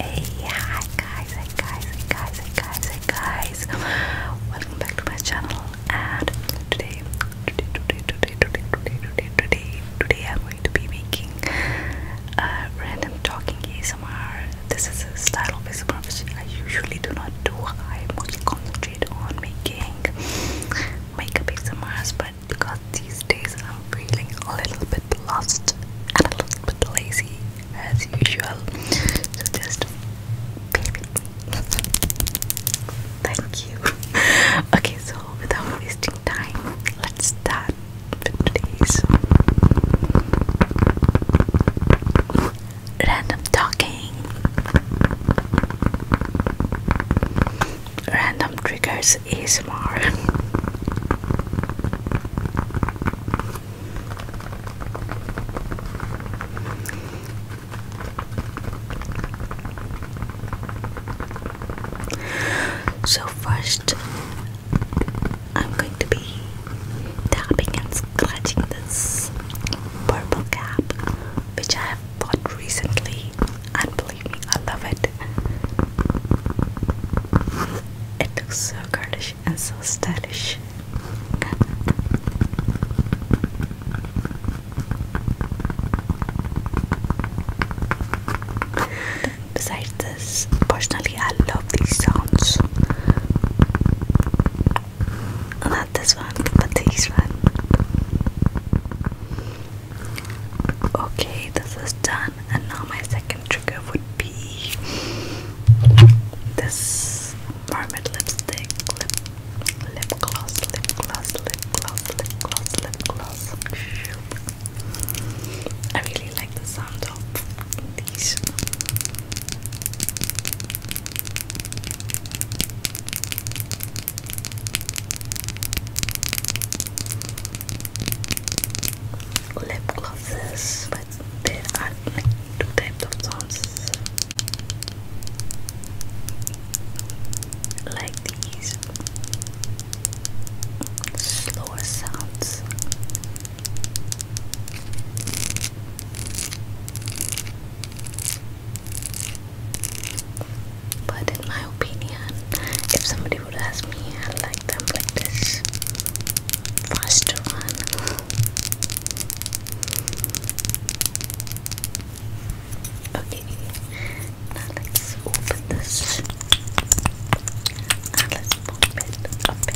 Hey, hi guys, hey guys, hey guys, hey guys, hey guys. Welcome back to my channel. And today, today, today, today, today, today, today, today, today I'm going to be making a random talking ASMR. This is a style of ASMR which I usually do not do. I mostly concentrate on making makeup ASMRs, but because these days I'm feeling a little bit lost and a little bit lazy as usual. So just baby. Thank you. Okay, so without wasting time, let's start today's random talking random triggers is more. So first I'm going to be tapping and scratching this purple cap which I have bought recently and believe me, I love it. It looks so girlish and so stylish. Besides this, personally, I love these sounds. Not this one, but this one. Okay, this is done, and now my second trigger would be this mermaid lipstick, lip gloss, lip gloss, lip gloss, lip gloss, lip gloss. I really like the sound of these lip glosses, but there are no two types of sounds like these slower sounds. But in my opinion, if somebody would ask me, I would like them like this. Faster one. Okay, now let's open this let's pop it up it.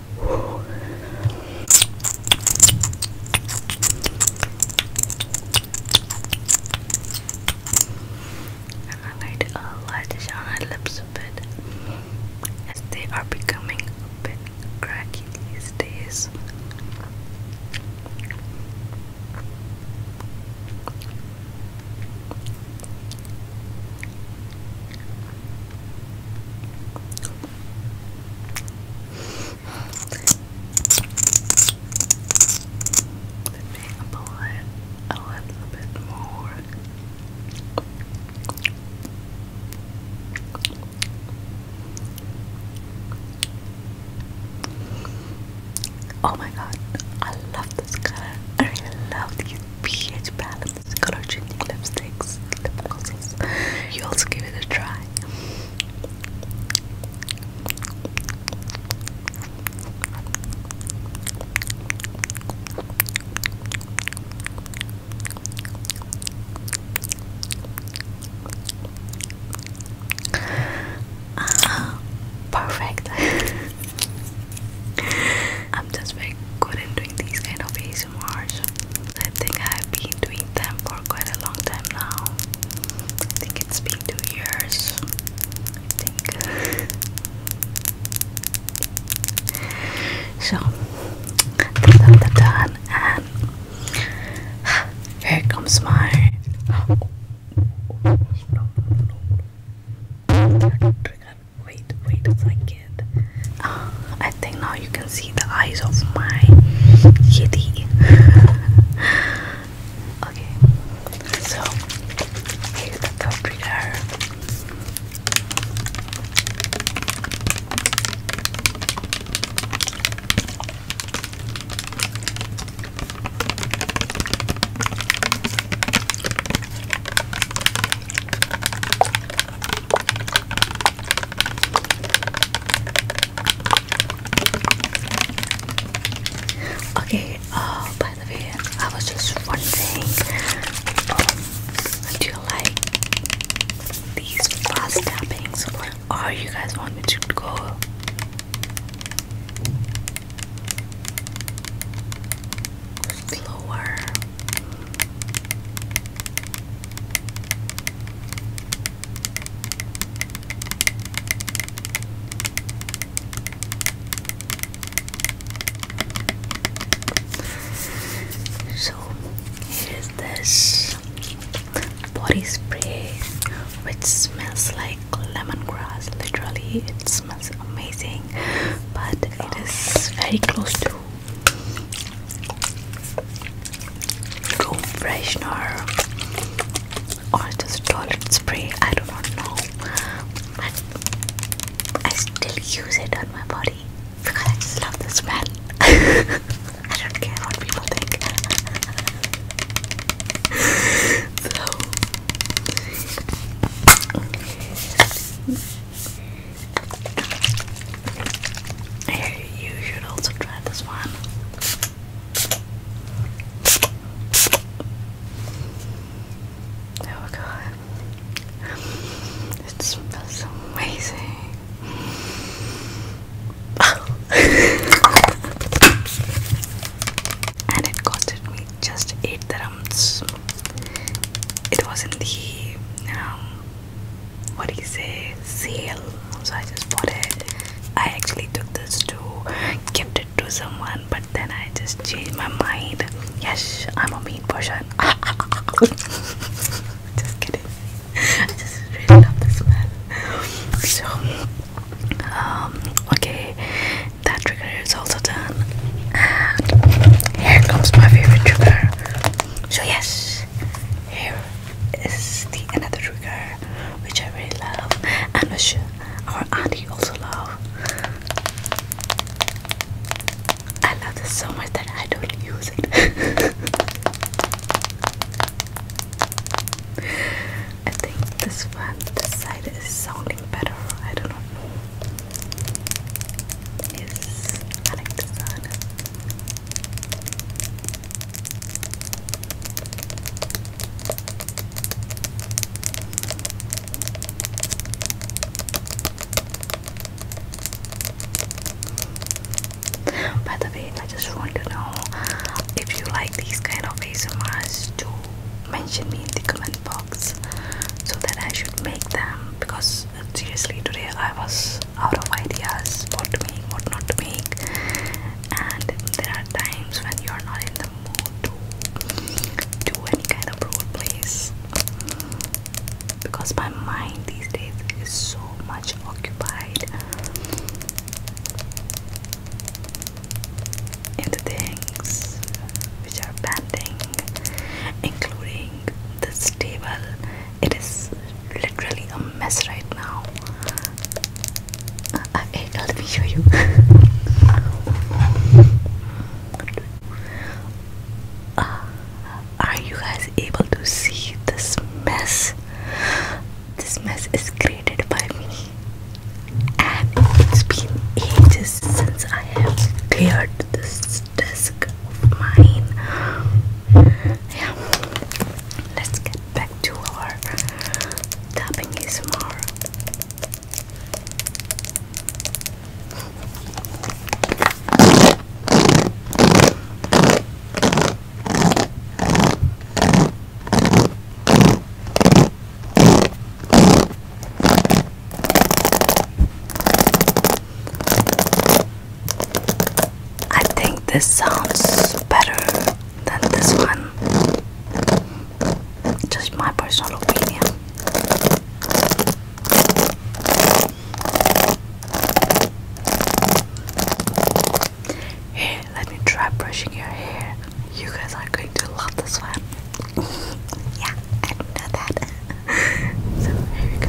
I'm going to apply this on my lips a bit as they are becoming a bit cracky these days a little bit more. Oh my god, I love this color. I really love these beige palette color changing lipsticks, You also give it a try. Ah, perfect. I'm just very good at doing these kind of ASMRs. I think I've been doing them for quite a long time now. I think it's been two years. I think. so, that's done, and here comes my wait, wait a second. Uh, I think now you can see the eyes of my kitty. okay, so here's the paprika. Okay, uh, by the way, I was just wondering, um, do you like these fast tappings or you guys want me to go? Slower, so here is this body spray which smells like lemongrass literally it smells amazing but it is very close to room freshener or just toilet spray, I do not know. But I still use it on my body because I just love the smell. I don't care what people think. so you should also try this one. Oh god. It smells amazing. and it costed me just 8 dirhams. It was in the um, what do you say sale so I just bought it I actually took this to gift it to someone but then I just changed my mind yes I'm a mean person just kidding I just really love the smell so um okay that trigger is also done and here comes my favorite trigger so yes here is the another trigger which I really love and which our auntie also love I love this so much that I don't use it I think this one this side is sounding better I do not know I By the way, I just want to know if you like these kind of ASMRs to mention me in the comment box so that I should make them because seriously today I was out of ideas what to make, what not to make and there are times when you are not in the mood to do any kind of role plays because my mind these days is so much occupied the things which are pending including this table it is literally a mess right now uh, uh, hey, let me show you uh, are you guys able to see this mess this mess is created by me and it's been ages since I have cleared this desk mine. Yeah, let's get back to our tapping ASMR. I think this sounds better than this one. Just my personal opinion. Here, let me try brushing your hair. You guys are going to love this one. yeah, I know that so here we go. Good.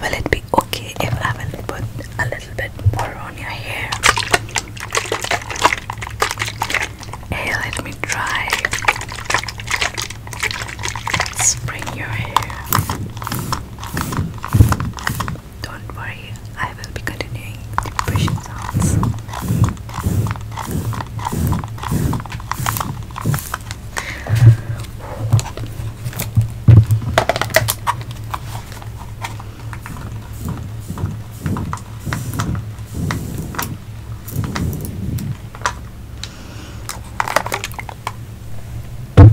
Will it be okay if I will put a little bit more on your hair? let me try. Spring your hair. Don't worry, I will be continuing the brushing sounds.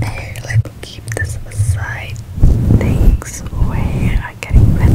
Here, let me keep this aside. Things where getting rid.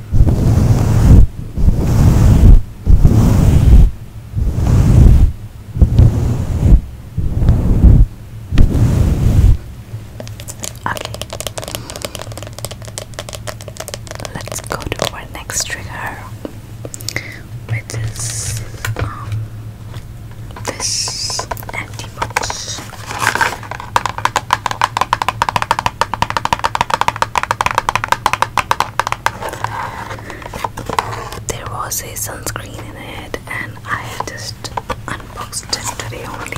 Okay. Let's go to our next trigger, which is um, this antibody. There was a sunscreen in it, and I just unboxed it today only.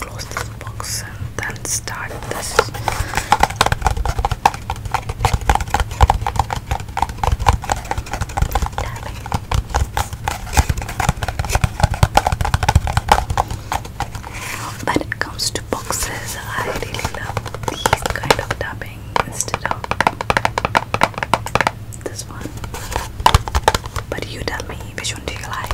close this box and then start this. Tapping. it comes to boxes, I really love these kind of tapping instead of this one. But you tell me which one do you like?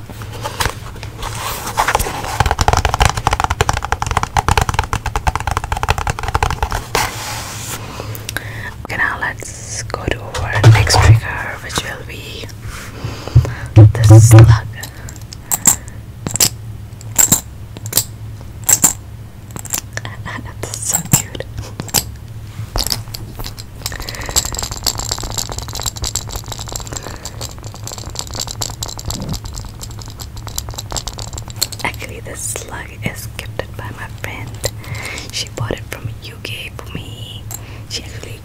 Okay, now let's go to our next trigger, which will be the slug. That's so cute. Actually, this slug is gifted by my friend. She bought it from UK for me. She actually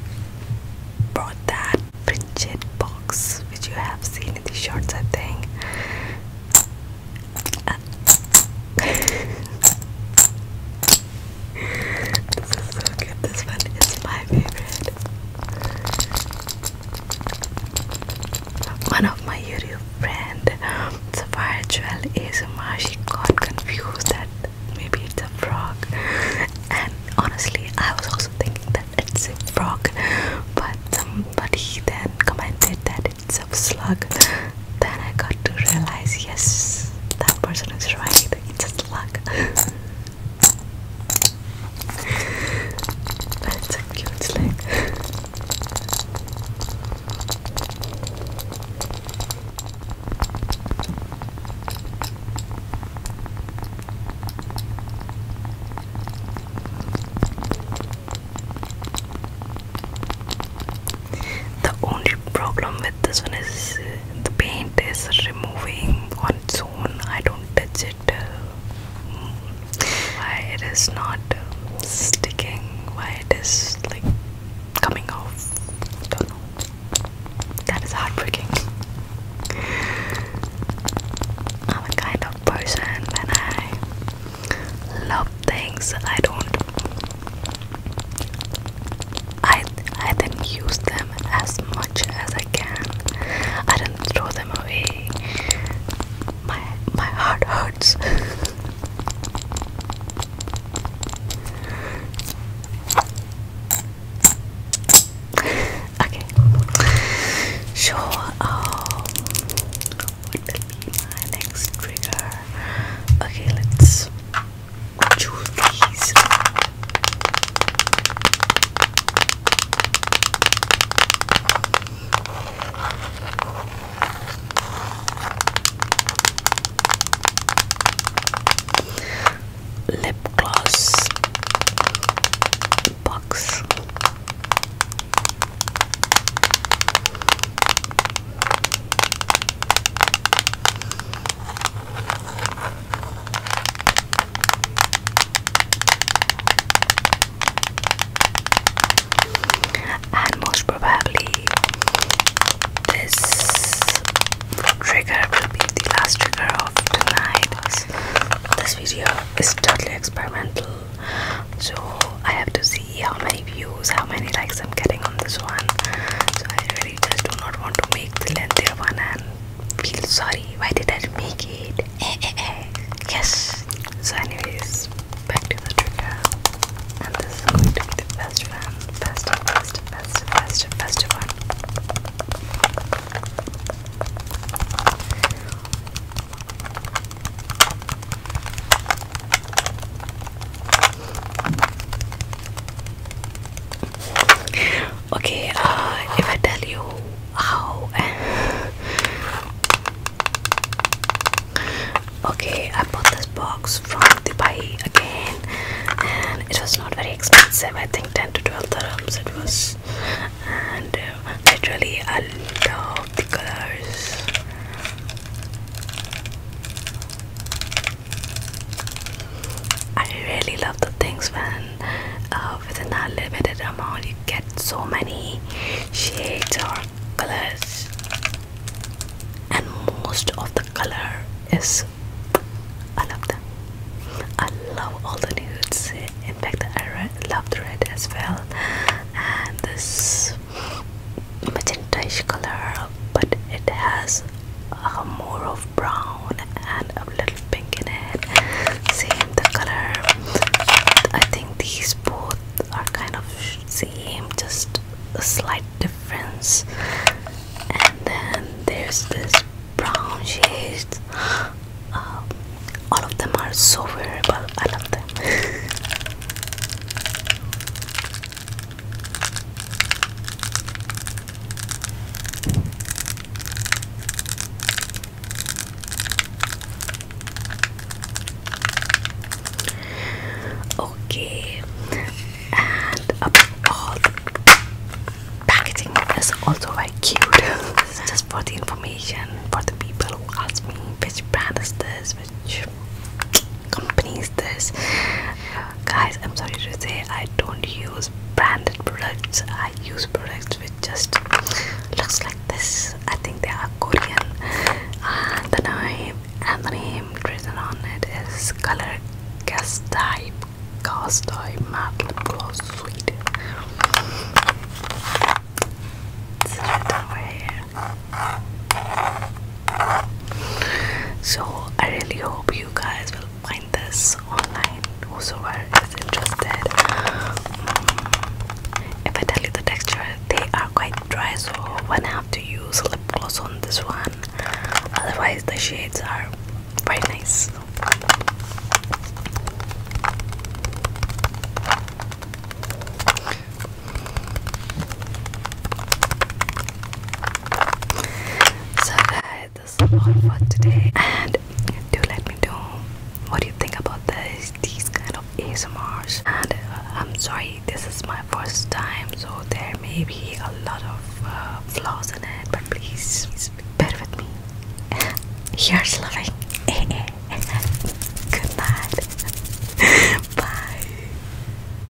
brought that Pritchett box, which you have seen in the shorts, I think. Ah. This is so good. This one is my favorite. One of my YouTube friend, Sapphire Jewel ASMR, she got confused that maybe it's a frog. And honestly, I was also thinking that it's a frog, but somebody um, then commented that it's a slug. Then I got to realize, yes, that person is right. It's a luck. That's a cute slick the only problem with this one is uh, the paint is removing on its own I don't touch it uh, why it is not uh, sticking why it is like coming off that is heartbreaking I'm a kind of person when I love things I don't I I then use them as much as I can. I didn't throw them away. My my heart hurts. okay. So um what will be my next trigger? Okay, let's choose these. Lip gloss box and most probably this trigger will be the last trigger of tonight this video is totally experimental so I have to see how many views how many likes I'm getting on this one so I really sorry just do not want to make the lengthier one and feel sorry why did I make it eh, eh, eh. yes so anyways back to the trigger and this is going to be the best one best best best best best one Okay, uh, if I tell you how. okay, I bought this box from Dubai again, and it was not very expensive. I think 10 to 12 dirhams it was, and uh, literally, I love the colors. I really love the things when uh, within that limited amount you get so many shades or colors, and most of the color is I love them. I love all the nudes. In fact, I love the red as well, and this magentish color but it has uh, more of brown and a little pink in it same the color I think these both are kind of same just a slight difference and then there's this brown shade um, all of them are so wearable I love them Okay, and the packaging is also very cute. this is just for the information for the people who ask me which brand is this, which companies this guys i'm sorry to say i don't use branded products i use products which just looks like this i think they are korean and the name and the name written on it is color cast type cast type matte lip gloss sweet so I really hope you guys will find this online. Whosoever is interested. Um, if I tell you the texture, they are quite dry, so I have to use lip gloss on this one. Otherwise, the shades are very nice. So guys, this is all for today, and do let me know what you think about this, these kind of ASMRs. And uh, I'm sorry, this is my first time, so there may be a lot of uh, flaws in it, but please, bear with me. Here's loving. Good night. Bye.